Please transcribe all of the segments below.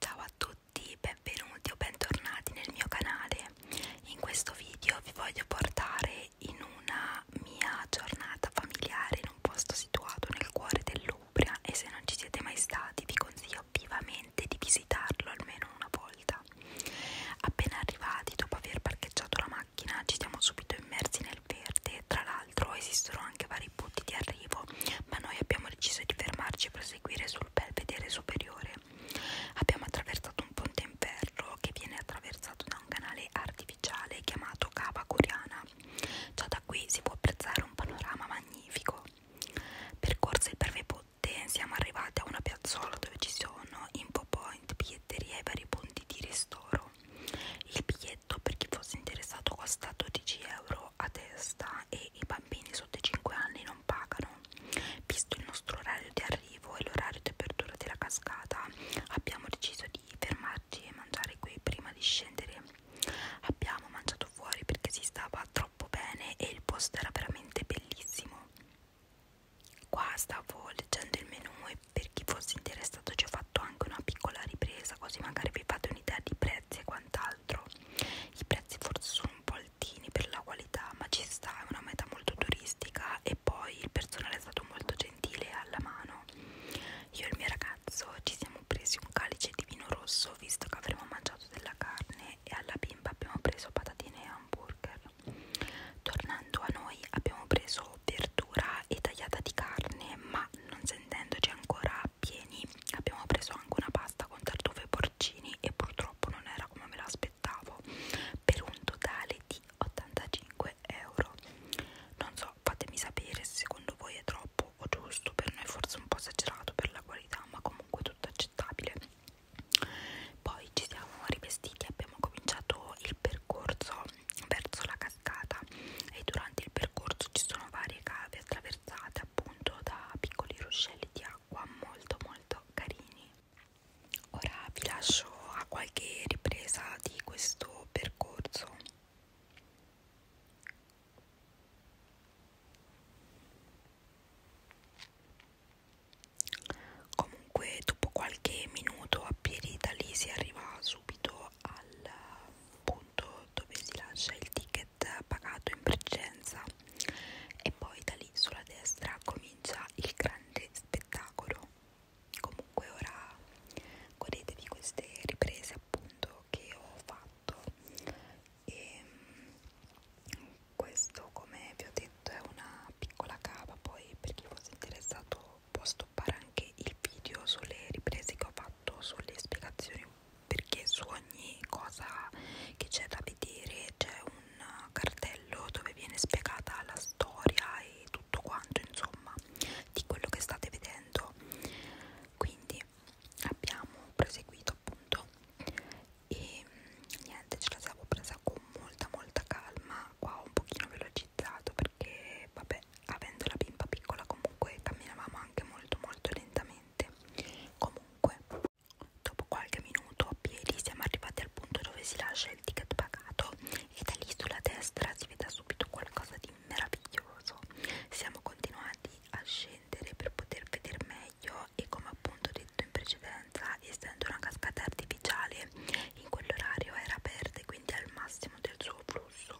Ciao a tutti, benvenuti o bentornati nel mio canale. In questo video vi voglio portare in una mia giornata familiare in un posto situato nel cuore dell'Umbria e se non ci siete mai stati vi consiglio vivamente di visitarlo almeno una volta. Appena arrivati, dopo aver parcheggiato la macchina, ci siamo subito immersi nel verde. Tra l'altro esistono anche vari i punti di arrivo, ma noi abbiamo deciso di fermarci e proseguire sul belvedere superiore. Abbiamo attraversato un ponte in ferro che viene attraversato da un canale artificiale chiamato Cava Curiana. Già da qui si può apprezzare un panorama magnifico. Percorse il breve ponte, siamo arrivati a una piazzola dove ci sono info point, biglietteria e vari punti di ristoro. Il biglietto per chi fosse interessato costa 12 euro euro a testa e i bambini sotto i 5 anni non pagano. Visto il nostro orario di arrivo e l'orario di apertura della cascata, abbiamo deciso di fermarci e mangiare qui prima di scendere. Abbiamo mangiato fuori perché si stava troppo bene e il posto era veramente bellissimo. Qua stavo leggendo il menù e per chi fosse interessato ci ho fatto anche una piccola ripresa così magari vi fate un'idea di prezzi e quant'altro i prezzi forse sono un po' altini per la qualità ma ci sta, è una meta molto turistica e poi il personale è stato molto gentile e alla mano io e il mio ragazzo ci siamo presi un calice di vino rosso visto che avremmo mangiato della carne e alla bimba abbiamo preso patatine e hamburger tornando a noi abbiamo preso verdura e tagliata di carne ma non sentendoci ancora pieni abbiamo preso anche una pasta con tartufo e porcini e purtroppo non era come me l'aspettavo per un totale di 85 euro non so fatemi sapere se secondo voi è troppo o giusto per noi forse un po' esagerato per la qualità ma comunque tutto accettabile poi ci siamo rivestiti abbiamo cominciato il percorso verso la cascata e durante il percorso ci sono varie cave attraversate appunto da piccoli ruscelli di acqua molto molto carini ora vi lascio a qualche ripresa di questo percorso comunque dopo qualche minuto a piedi da lì si arriva subito al punto dove si lascia il ticket pagato in precedenza e poi da lì sulla destra comincia il grande spettacolo comunque ora godetevi queste riprese appunto che ho fatto e ehm, questo come vi ho detto è una piccola cava poi per chi fosse interessato può stoppare anche il video sulle riprese che ho fatto, sulle spiegazioni perché su ogni cosa che c'è da vedere c'è un cartello dove viene spiegata la storia e tutto quanto insomma di quello che state vedendo quindi abbiamo proseguito appunto e mm, niente ce la siamo presa con molta molta calma qua un pochino veloce velocizzato perché vabbè avendo la bimba piccola comunque camminavamo anche molto molto lentamente comunque dopo qualche minuto a piedi siamo arrivati al punto dove si lascia il ticket pagato e da lì sulla destra si vede subito qualcosa di meraviglioso siamo continuati a scendere per poter vedere meglio e come appunto detto in precedenza essendo una cascata artificiale in quell'orario era aperta e quindi al massimo del suo flusso.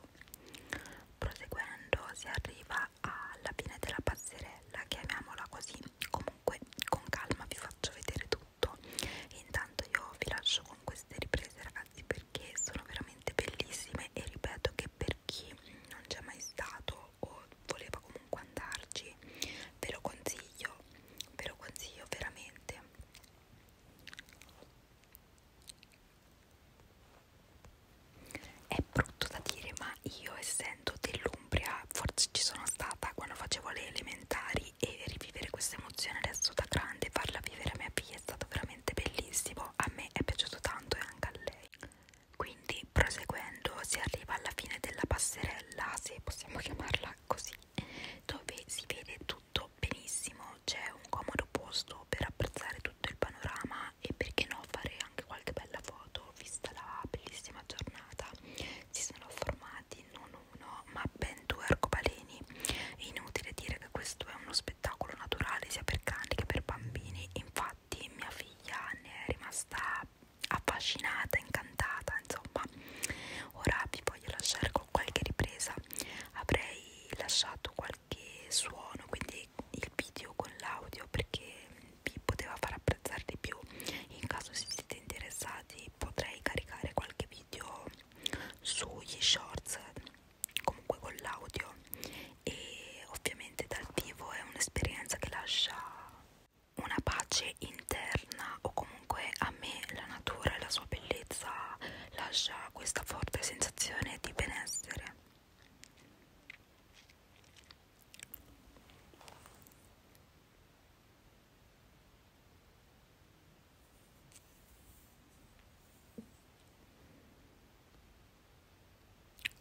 Proseguendo si arriva alla fine della passerella, chiamiamola così, comunque con calma vi faccio vedere tutto. E intanto io vi lascio con queste riprese ragazzi perché sono veramente bellissime e ripeto che per chi non c'è mai stato o voleva comunque andarci ve lo consiglio, ve lo consiglio veramente è brutto da dire, ma io essendo dell'Umbria, forse ci sono stata quando facevo le elementari e rivivere questa emozione adesso da grande, farla vivere a mia figlia è stato veramente bellissimo. A me è piaciuto tanto e anche a lei. Quindi, proseguendo, si arriva alla fine della passerella, se possiamo chiamarla così, dove si vede tutto benissimo, c'è un comodo posto per apprezzare tutto il panorama e perché no fare anche qualche bella foto vista la bellissima giornata. Si sono formati non uno ma ben due arcobaleni. È inutile dire che questo è uno spettacolo naturale sia per cani che per bambini, infatti mia figlia ne è rimasta affascinata, incantata andata insomma ora vi voglio lasciare con qualche ripresa avrei lasciato qualche suono quindi il video con l'audio perché vi poteva far apprezzare di più in caso se siete interessati potrei caricare qualche video sugli shorts comunque con l'audio e ovviamente dal vivo è un'esperienza che lascia una pace interna o comunque a me la natura e la sua bellezza lascia questa forte sensazione di benessere.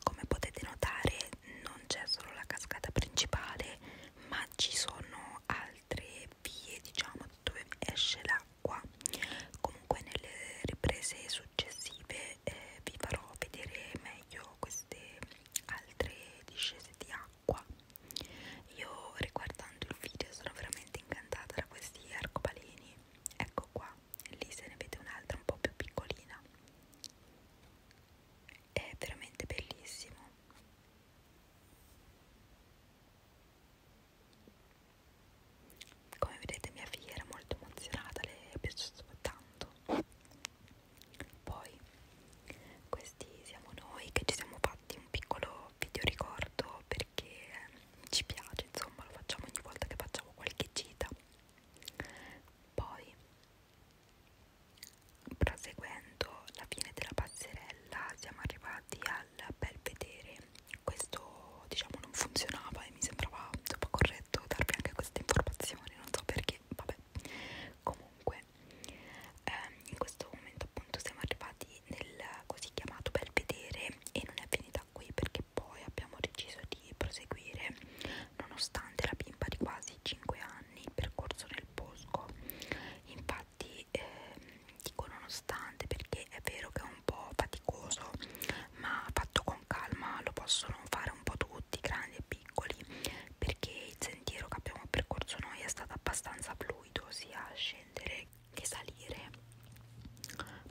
Come potete notare non c'è solo la cascata principale ma ci sono altre vie diciamo dove esce l'acqua comunque nelle riprese successive eh, vi farò vedere meglio queste altre discese di acqua io riguardando il video sono veramente incantata da questi arcobaleni ecco qua lì se ne vede un'altra un po' più piccolina è veramente bellissimo come vedete mia figlia era molto emozionata, le è piaciuto tanto. Poi questi siamo noi che ci siamo fatti un piccolo video ricordo perché ci piace, insomma lo facciamo ogni volta che facciamo qualche gita. Poi Proseguendo la fine della passerella siamo arrivati al belvedere, questo diciamo non funzionava e mi sembrava troppo corretto darvi anche questa informazione, non so perché, vabbè, comunque ehm, in questo momento appunto siamo arrivati nel così chiamato belvedere e non è finita qui perché poi abbiamo deciso di proseguire nonostante la bimba di quasi 5 anni il percorso nel bosco infatti eh, dico nonostante perché è vero che è un po' faticoso ma fatto con calma lo possono fare un po' tutti grandi e piccoli perché il sentiero che abbiamo percorso noi è stato abbastanza fluido sia a scendere che salire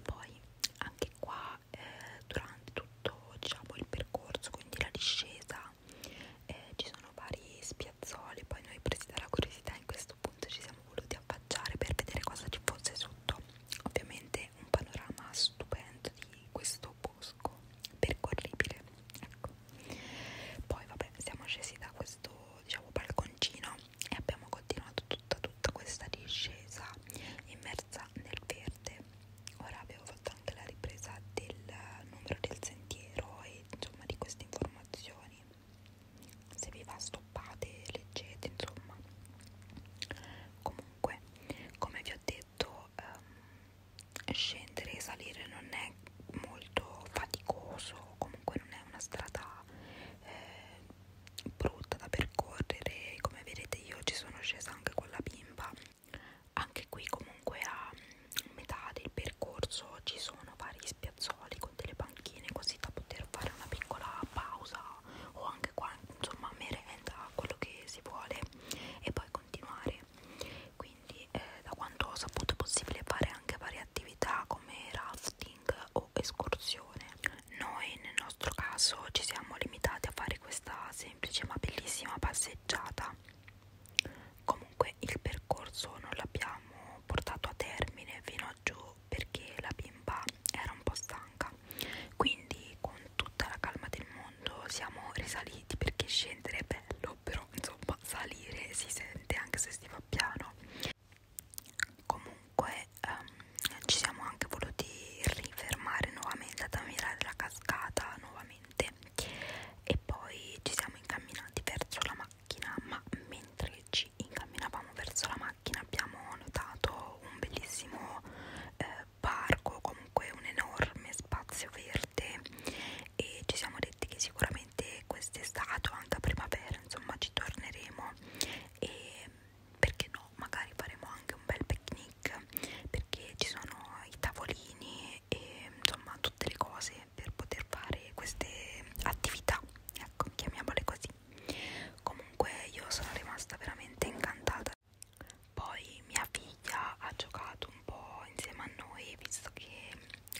poi anche qua eh, durante tutto diciamo, il percorso, quindi la discesa, eh, ci sono vari spiazzoli, poi noi presi dalla curiosità in questo punto ci siamo voluti affacciare per vedere cosa ci fosse sotto, ovviamente un panorama stupendo di questo bosco percorribile, ecco. Poi vabbè siamo scesi da questo diciamo balconcino e abbiamo continuato tutta tutta questa discesa immersa ancora nel verde ora abbiamo fatto anche la ripresa del numero del sentiero e insomma di queste informazioni se vi va stoppate leggete insomma comunque come vi ho detto ehm, scendere e salire non è molto faticoso comunque non è una strada eh, brutta da percorrere come vedete io ci sono scesa anche con la bimba anche qui comunque a metà del percorso ci sono vari spiazzoli con delle panchine così da poter fare una piccola pausa o anche qua insomma merenda quello che si vuole e poi continuare quindi eh, da quanto ho saputo è possibile fare anche varie attività come rafting o escursione noi nel nostro caso ci siamo limitati a fare questa semplice ma bellissima passeggiata. Comunque il percorso non l'abbiamo portato a termine fino a giù perché la bimba era un po' stanca. Quindi con tutta la calma del mondo siamo risaliti perché scendere è bello, però insomma salire si sente anche se si va piano. Comunque comunque um, ci siamo anche voluti rifermare nuovamente ad ammirare la cascata nuovamente e poi ci siamo incamminati verso la macchina ma mentre ci incamminavamo verso la macchina abbiamo notato un bellissimo eh, parco comunque un enorme spazio verde e ci siamo detti che sicuramente quest'estate o anche a primavera insomma ci torneremo e perché no, magari faremo anche un bel picnic perché ci sono i tavolini e insomma tutte le cose per poter fare queste attività, ecco, chiamiamole così. Comunque io sono rimasta veramente incantata. Poi mia figlia ha giocato un po' insieme a noi, visto che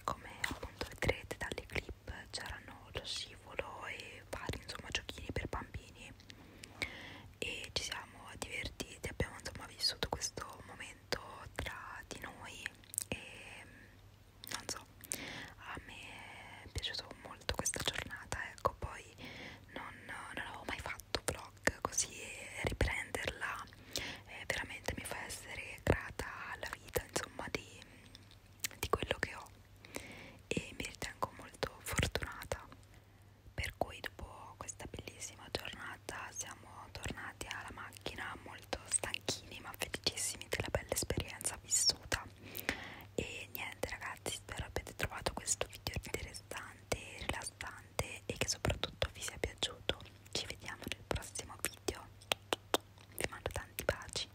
come appunto vedrete dalle clip c'erano lo scivolo e vari insomma giochini per bambini e ci siamo divertiti, abbiamo insomma vissuto questo momento tra di noi e non so, a me è piaciuto molto questa giornata, ecco poi non, non avevo mai fatto vlog così e riprenderla eh, veramente mi fa essere grata alla vita insomma di, di quello che ho e mi ritengo molto fortunata per cui dopo questa bellissima giornata siamo tornati alla macchina molto stanchini ma felicissimi della bella esperienza vissuta e niente ragazzi spero abbiate trovato questo video interessante rilassante e che soprattutto vi sia piaciuto ci vediamo nel prossimo video vi mando tanti baci